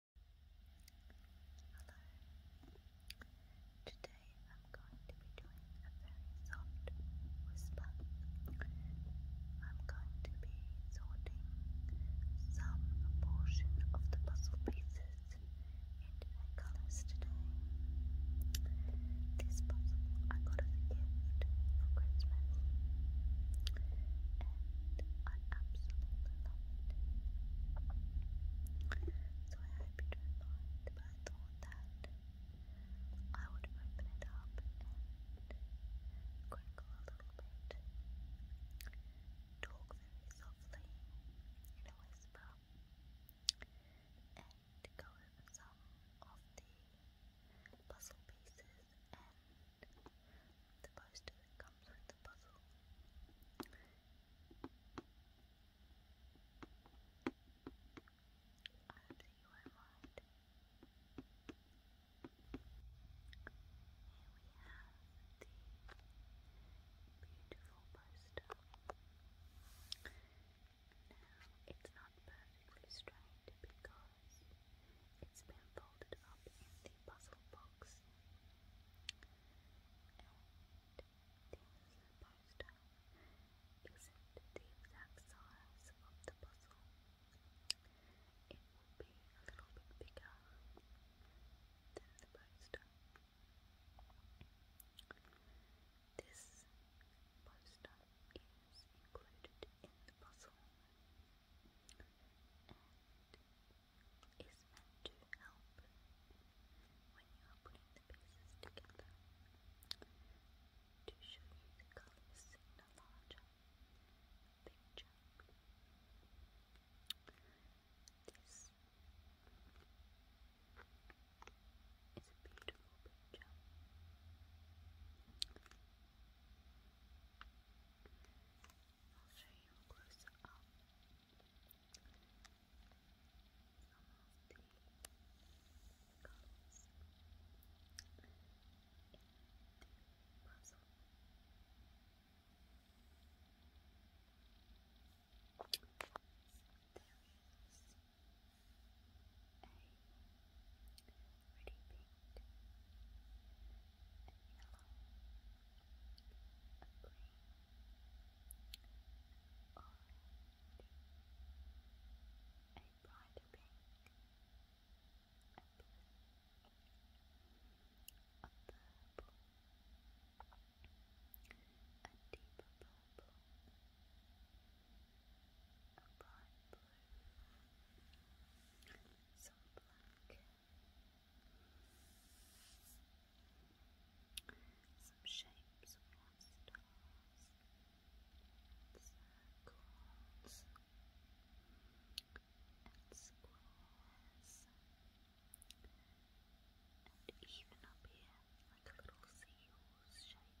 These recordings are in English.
Today I'm going to be doing a very soft whisper. I'm going to be sorting some portion of the puzzle pieces into their colours today. This puzzle I got as a gift for Christmas and I absolutely love so I hope you don't but I thought that I would open it up crinkle a little bit, talk very softly in a whisper, and go over some of the puzzle pieces the poster comes with the puzzle. Here we have the beautiful poster. Now, it's not perfectly straight because it's been folded up in the puzzle box. And poster isn't the exact size of the puzzle. It will be a little bit bigger than the poster. This poster is included in the puzzle and is meant to help when you are putting the pieces together to show you the colors in a larger picture. This a beautiful picture. I'll show you a close up some of the colors in the puzzle. So there is pretty pink, a yellow, a green, orange, a brighter pink, a blue, a purple, a deeper purple, a bright some black, some shapes stars, circles, and squares, and even up here, like a little seahorse shape.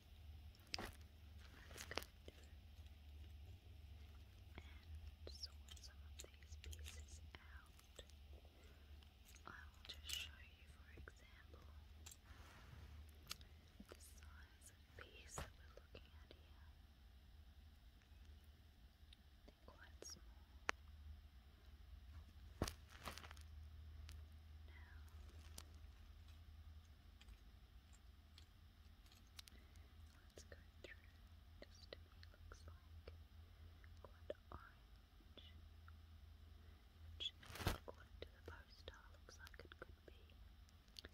That's And sort some of these pieces out. I will just show you, for example, the size of piece that we're looking at here. They're quite small. Let's go through this to me looks like quite orange, which according to the poster looks like it could be around the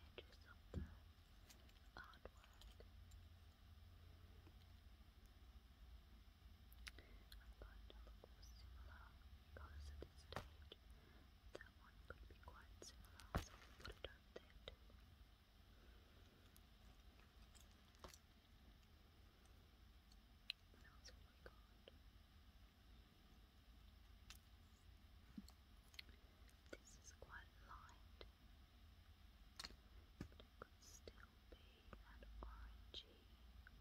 edges of the artwork. I'm going to look for similar colours at this stage. That one could be quite similar, so I'll put it up there This is quite light, could still be that orange shoes. And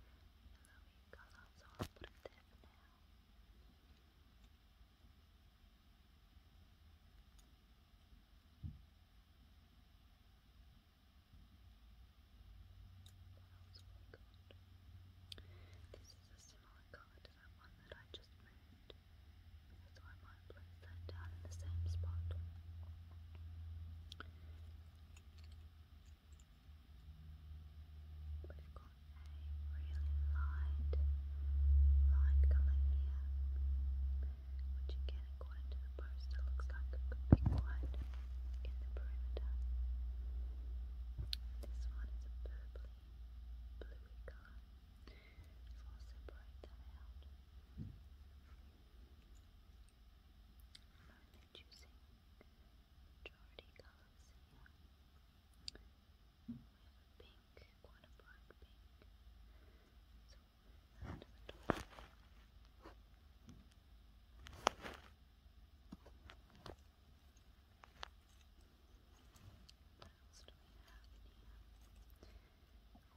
This is a similar colour to that one that I just moved, so I might place down in the same spot. We've got a really light light colour here, which again, according to the poster, looks like a big white in the perimeter. This one is a purpley, bluey colour, so I'll separate I'm only choosing we have a pink, quite a bright pink. So we'll the top. What else do we have here? Oh,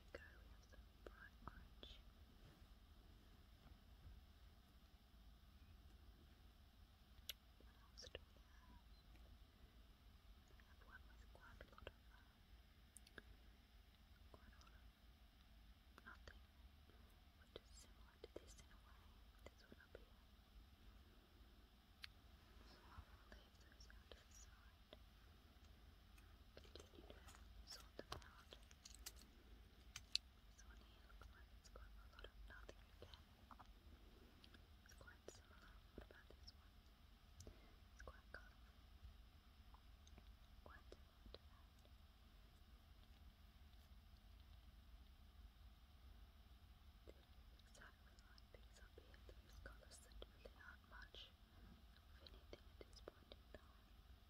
here we go, bright orange. What else do we have? I have one with quite a lot of, quite a lot of nothing, which is similar to this in a way, this one up here. So I will leave those out to the side. Continue to sort them out. So when you apply it, it's going a lot of nothing again. It's quite similar. What about this one? It's quite colorful. Quite similar to Exactly like these up here, those colors that really not much of anything at this point in time.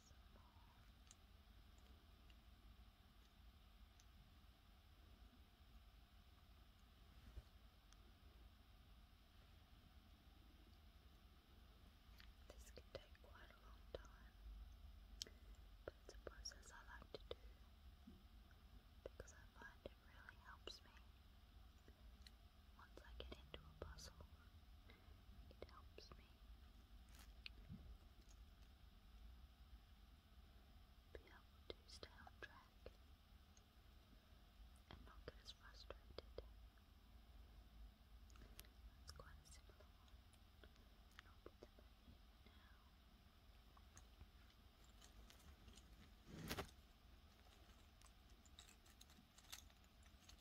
doesn't This can take quite a long time, but it's a process I like to do because I find it really helps me. Once I get into a puzzle, it helps me be able to stay on track and not get as frustrated. That's quite a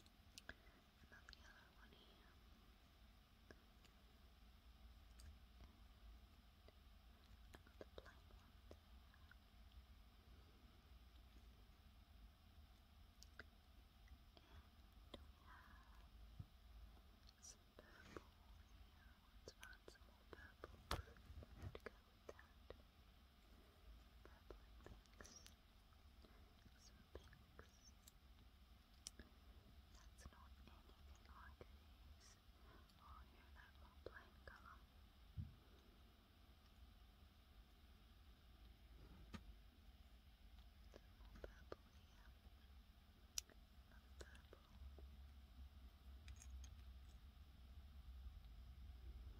and then the other one here. And another one And we have some purple Let's find some more purple to go with that. Purple and topics. That's not anything like these. Oh, you that more plain colour. purple here. Another purple.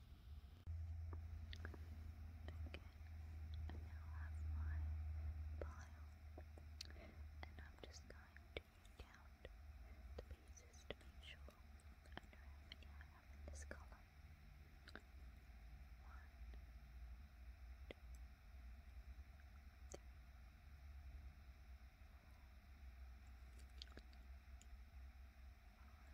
I now have my pile, and I'm just going to count the pieces to make sure I know how many I have in this column. One, two, three, four, five,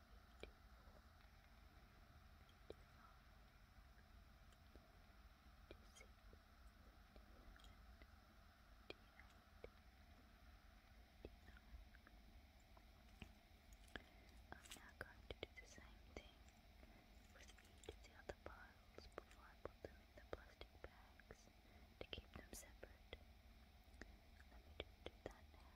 I'm now going to do the same thing with each of the other piles before I the plastic bags to keep them separate. Let me do that now.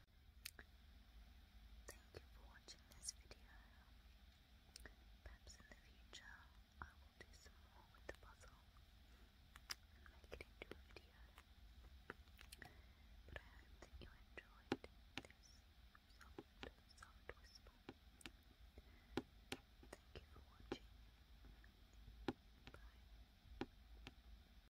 Thank you for watching this video. Perhaps in the future I will do some more with the puzzle and make it into a video. But I hope that you enjoyed this soft, soft whisper. Thank you for watching. Bye.